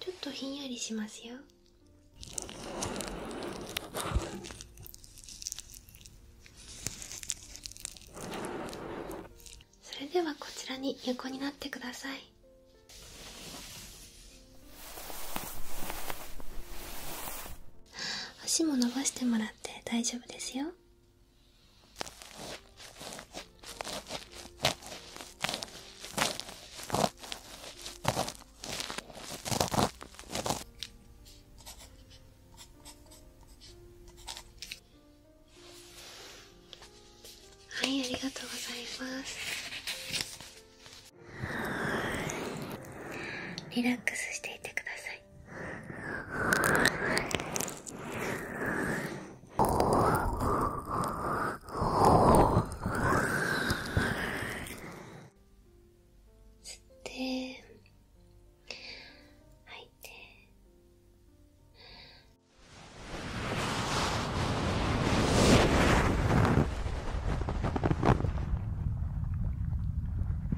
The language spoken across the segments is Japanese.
ちょっとひんやりしますよそれではこちらに横になってください足も伸ばしてもらって大丈夫ですよはいありがとうございますリラックスしていてくださいい吸って吐いて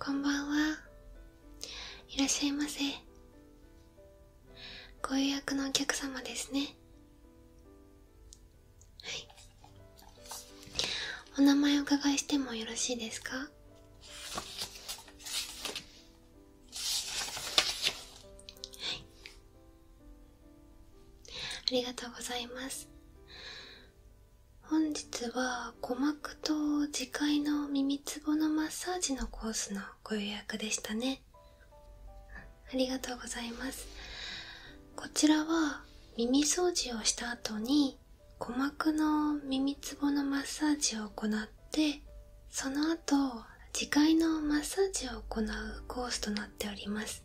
こんばんはいらっしゃいませご予約のお客様ですねはいお名前お伺いしてもよろしいですかはいありがとうございます本日は鼓膜と磁界の耳つぼのマッサージのコースのご予約でしたねありがとうございますこちらは耳掃除をした後に鼓膜の耳つぼのマッサージを行ってその後磁界のマッサージを行うコースとなっております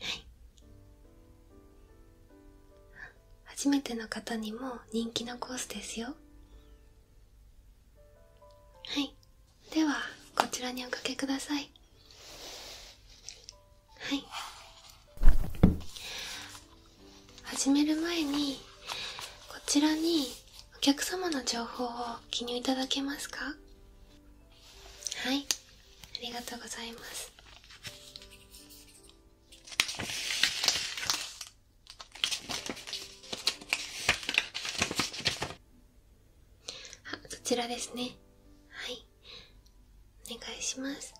はい初めての方にも人気のコースですよはいではこちらにおかけくださいはい始める前にこちらにお客様の情報を記入いただけますかはいありがとうございますあ、そちらですね。はい。お願いします。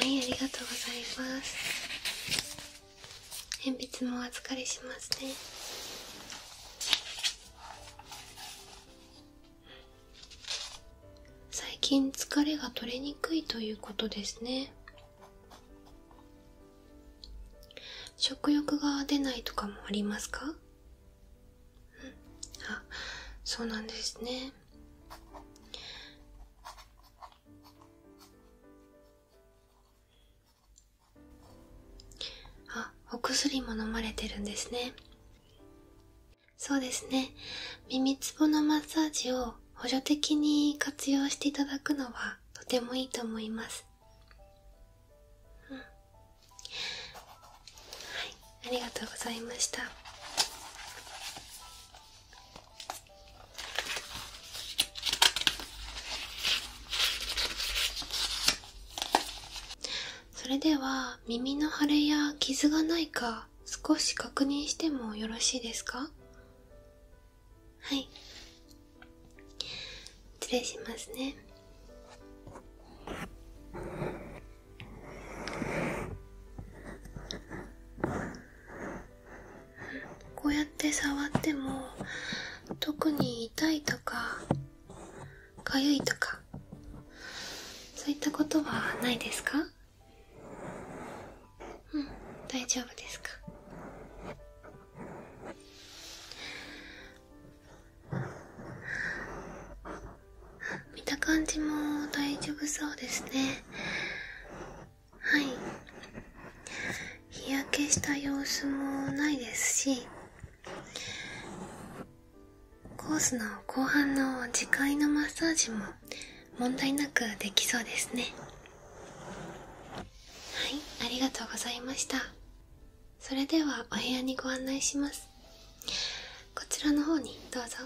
はいありがとうございます鉛筆もお預かりしますね最近疲れが取れにくいということですね食欲が出ないとかもありますか、うん、あそうなんですねあお薬も飲まれてるんですねそうですね。耳つぼのマッサージを補助的に活用していただくのはとてもいいと思います。ありがとうございました。それでは耳の腫れや傷がないか少し確認してもよろしいですかはい失礼しますねこうやって触っても特に痛いとかかゆいとかそういったことはないですかうん大丈夫ですか見た感じも大丈夫そうですねはい日焼けした様子もないですしコースの後半の次回のマッサージも問題なくできそうですねはいありがとうございましたそれではお部屋にご案内しますこちらの方にどうぞ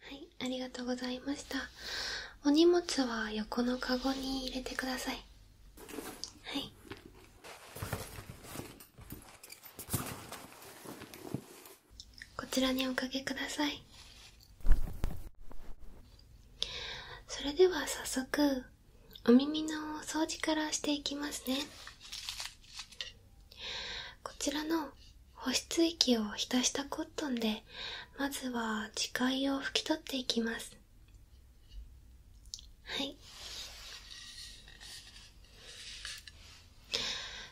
はいありがとうございましたお荷物は横のカゴに入れてくださいはいこちらにおかけくださいそれでは早速お耳の掃除からしていきますねこちらの保湿液を浸したコットンでまずは磁界を拭き取っていきますはい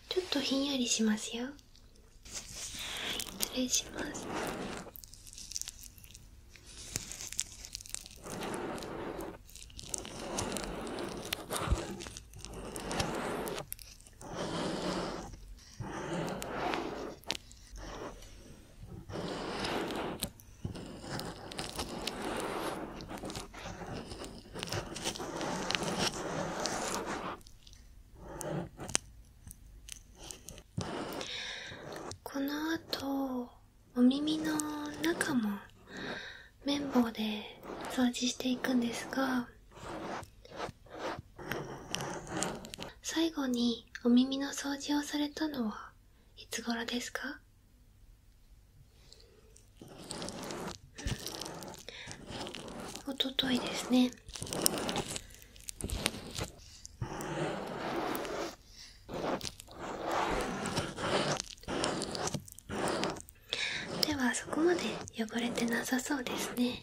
ちょっとひんやりしますよはい失礼しますこのあとお耳の中も綿棒で掃除していくんですが最後にお耳の掃除をされたのはいつ頃ですかおとといですねではそこまで汚れてなさそうですね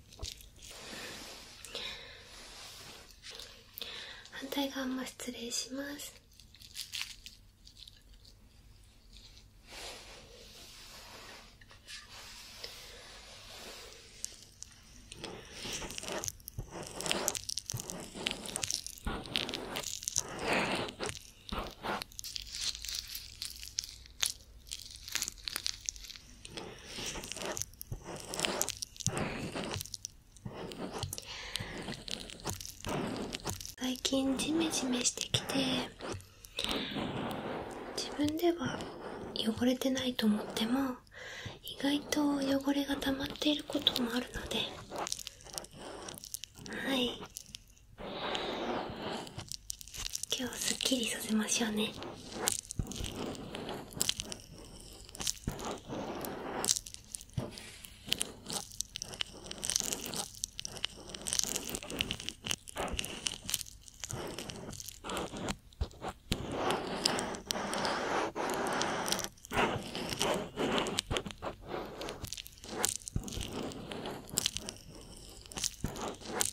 反対側も失礼します最近ジメジメしてきて自分では汚れてないと思っても意外と汚れが溜まっていることもあるのではい今日すっきりさせましょうね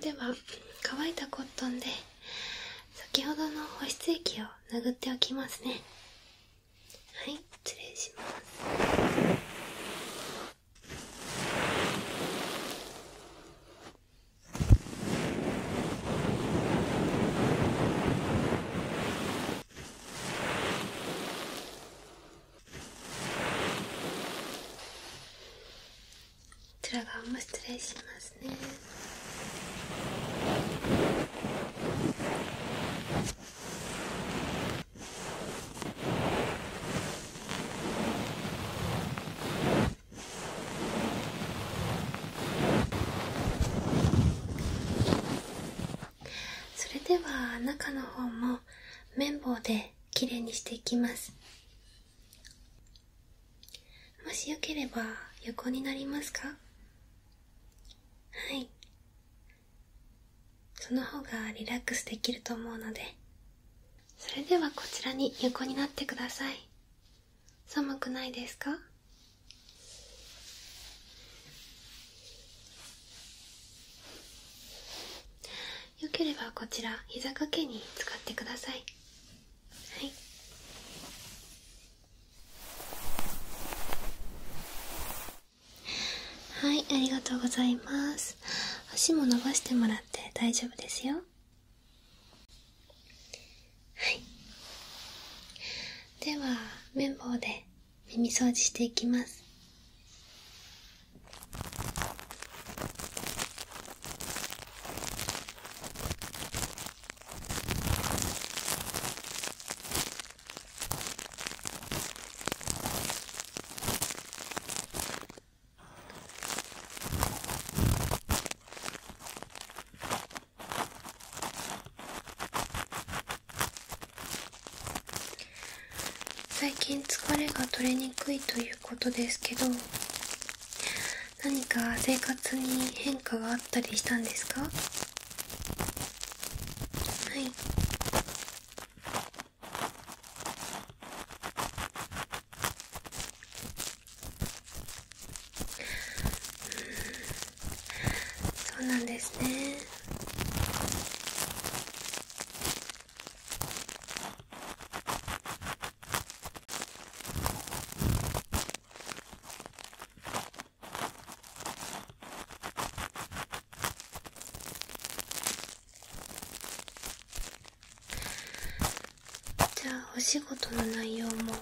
では乾いたコットンで先ほどの保湿液を拭っておきますねはい失礼しますこちら側も失礼しますねそれでは中の方も綿棒できれいにしていきますもしよければ横になりますかはいその方がリラックスできると思うのでそれではこちらに横になってください寒くないですかよければこちら膝掛けに使ってくださいはいありがとうございます。足も伸ばしてもらって大丈夫ですよ。はいでは綿棒で耳掃除していきますはい最近疲れが取れにくいということですけど何か生活に変化があったりしたんですかはいそうなんですねじゃあお仕事の内容も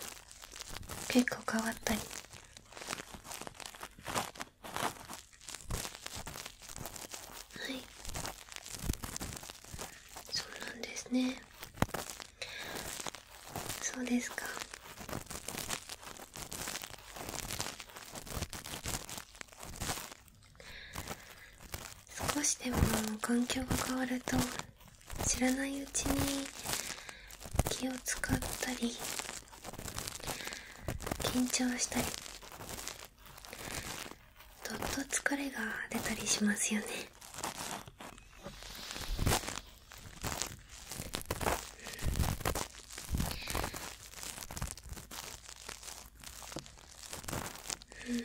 結構変わったりはいそうなんですねそうですか少しでも環境が変わると知らないうちに気を使ったり緊張したりどっと疲れが出たりしますよねうん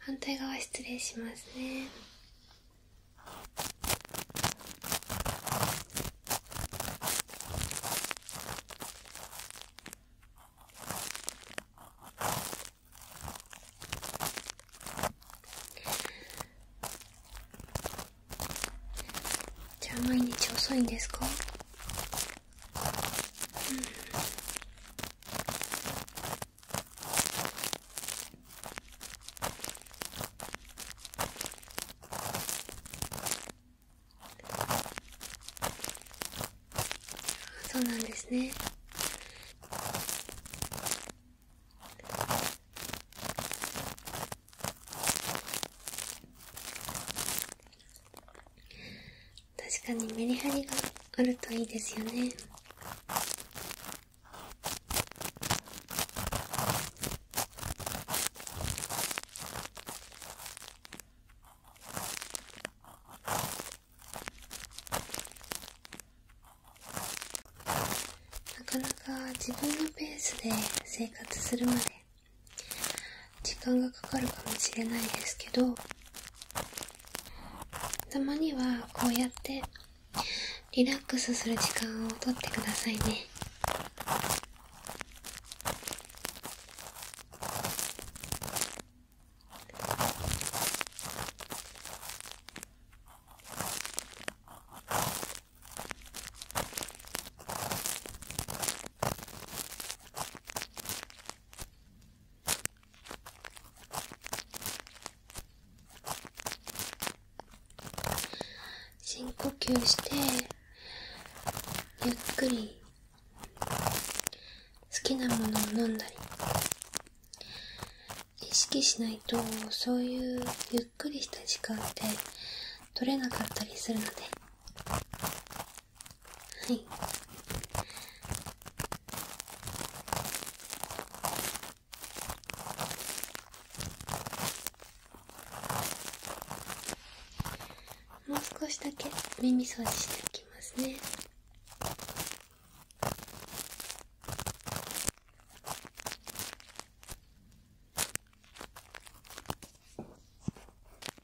反対側失礼しますねじゃあ毎日遅いんですかうん。そうなんですね確かにメリハリがあるといいですよねなかなか自分のペースで生活するまで時間がかかるかもしれないですけどたまにはこうやってリラックスする時間をとってくださいね深呼吸してゆっくり好きなものを飲んだり意識しないとそういうゆっくりした時間って取れなかったりするのではいもう少しだけ耳掃除しておきますね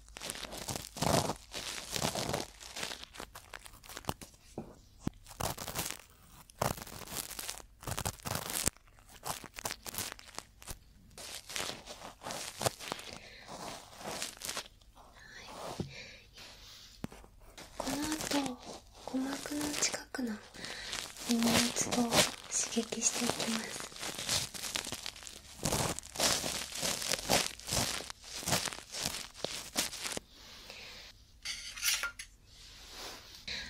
の後鼓膜の近くの耳のツボを刺激していきますはい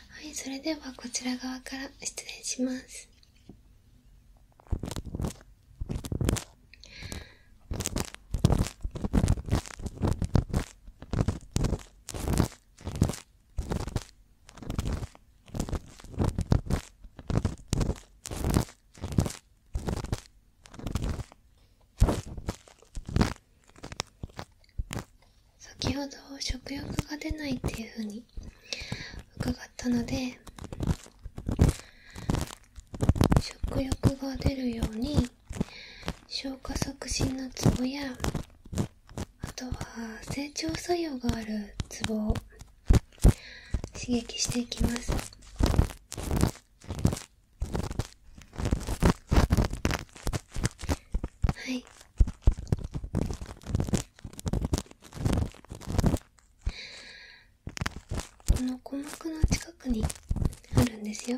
はいそれではこちら側から失礼します先ほど食欲が出ないっていうふうに伺ったので食欲が出るように消化促進のツボやあとは成長作用があるツボを刺激していきます。はいこの鼓膜の近くにあるんですよ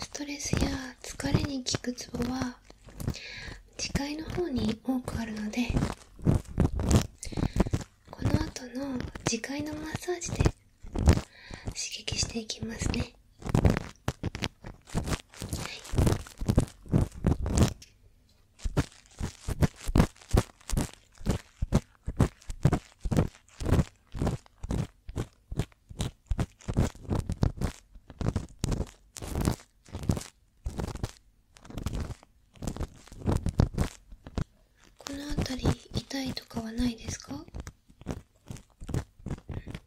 ストレスや疲れに効くツボは視界の方に多くあるのでこの後の次回のマッサージで刺激していきますね、はいこの辺り痛いとかはないですか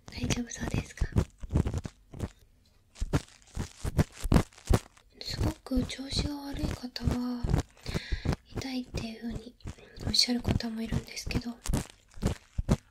大丈夫そうですかすごく調子が悪い方は痛いっていうふうにおっしゃる方もいるんですけど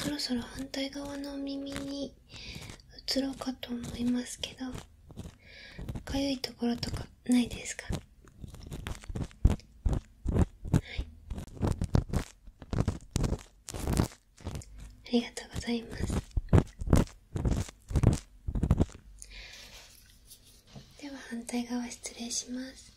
そろそろ反対側の耳に移ろうかと思いますけどかゆいところとかないですかはいありがとうございますでは反対側失礼します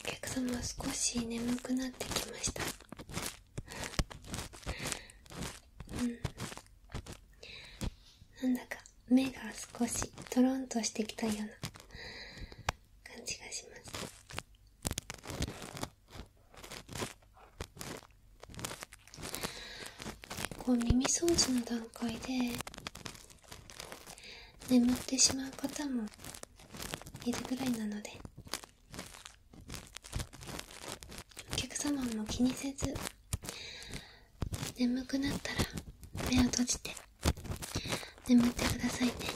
お客様少し眠くなってきましたなんだか目が少しトロンとしてきたような感じがします結構耳掃除の段階で眠ってしまう方もいるぐらいなのでお客様も気にせず眠くなったら目を閉じて眠ってくださいねはい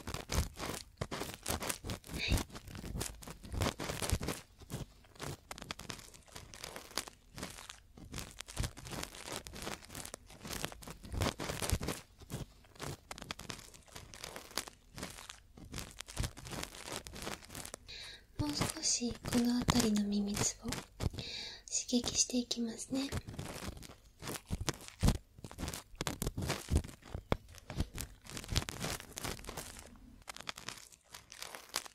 もう少しこの辺りのミミズを刺激していきますね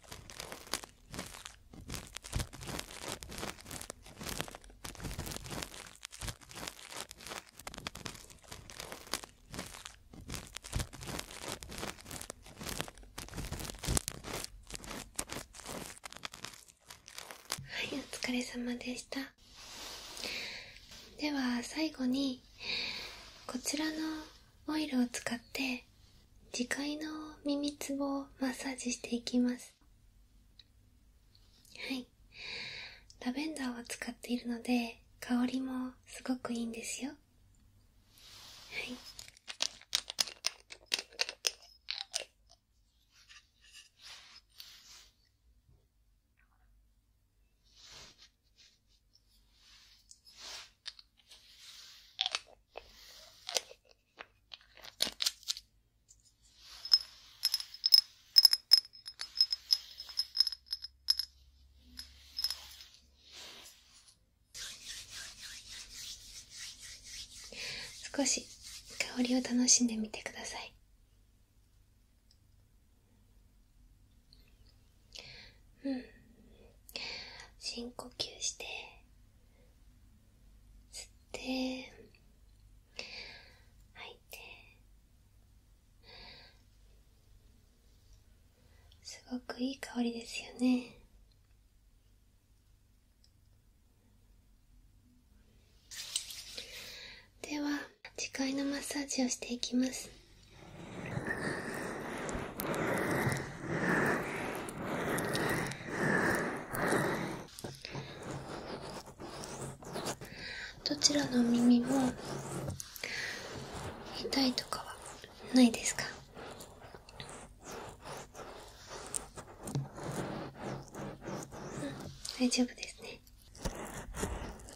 はいお疲れ様でしたでは最後にこちらのオイルを使って自戒の耳つぼをマッサージしていきますはいラベンダーを使っているので香りもすごくいいんですよはい少し香りを楽しんでみてくださいうん深呼吸して吸って吐いてすごくいい香りですよねでは次回のマッサージをしていきますどちらの耳も痛いとかはないですかうん、大丈夫ですね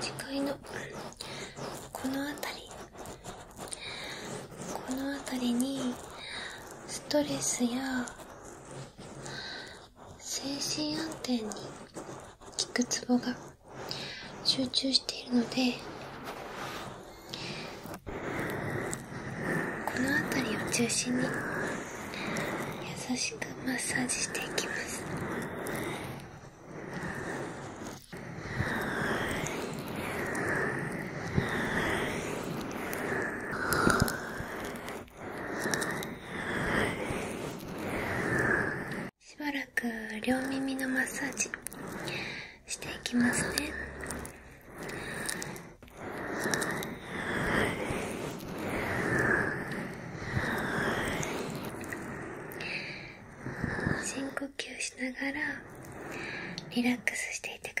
次回のこの辺りこの辺りにストレスや精神安定に効くツボが集中しているのでこの辺りを中心に優しくマッサージしていきますしばらく両耳のマッサージしていきますね深呼吸しながらリラックスしていてください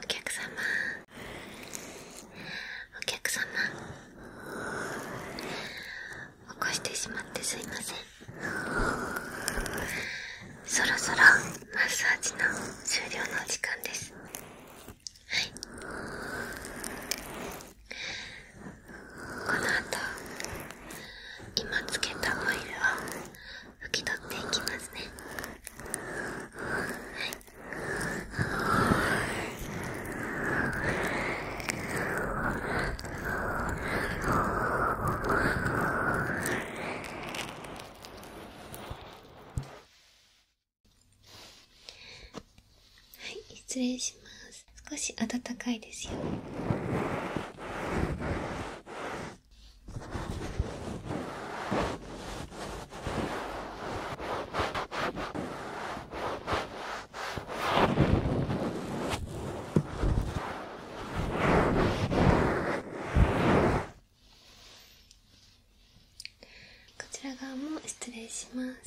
お客様お客様起こしてしまってすいませんそろそろマッサージの終了のお時間ですはいこの後今つけたオイルを拭き取っていきますねはいはい、失礼します。少し暖かいですよ。こちら側も失礼します。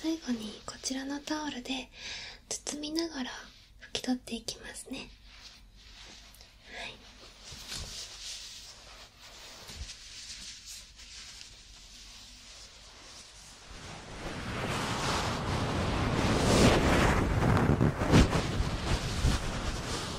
最後にこちらのタオルで包みながら拭き取っていきますねはい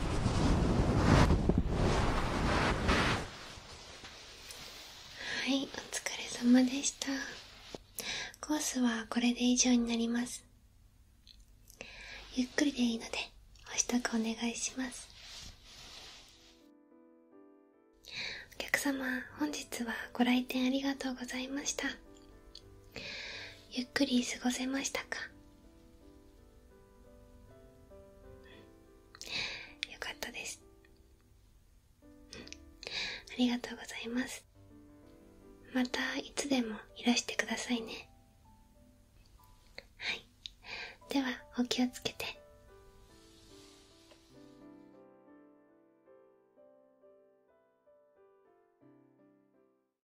はい、お疲れ様でした。コースはこれで以上になります。ゆっくりでいいので、お支度お願いします。お客様、本日はご来店ありがとうございました。ゆっくり過ごせましたかよかったですありがとうございますまたいつでもいらしてくださいねはいではお気をつけて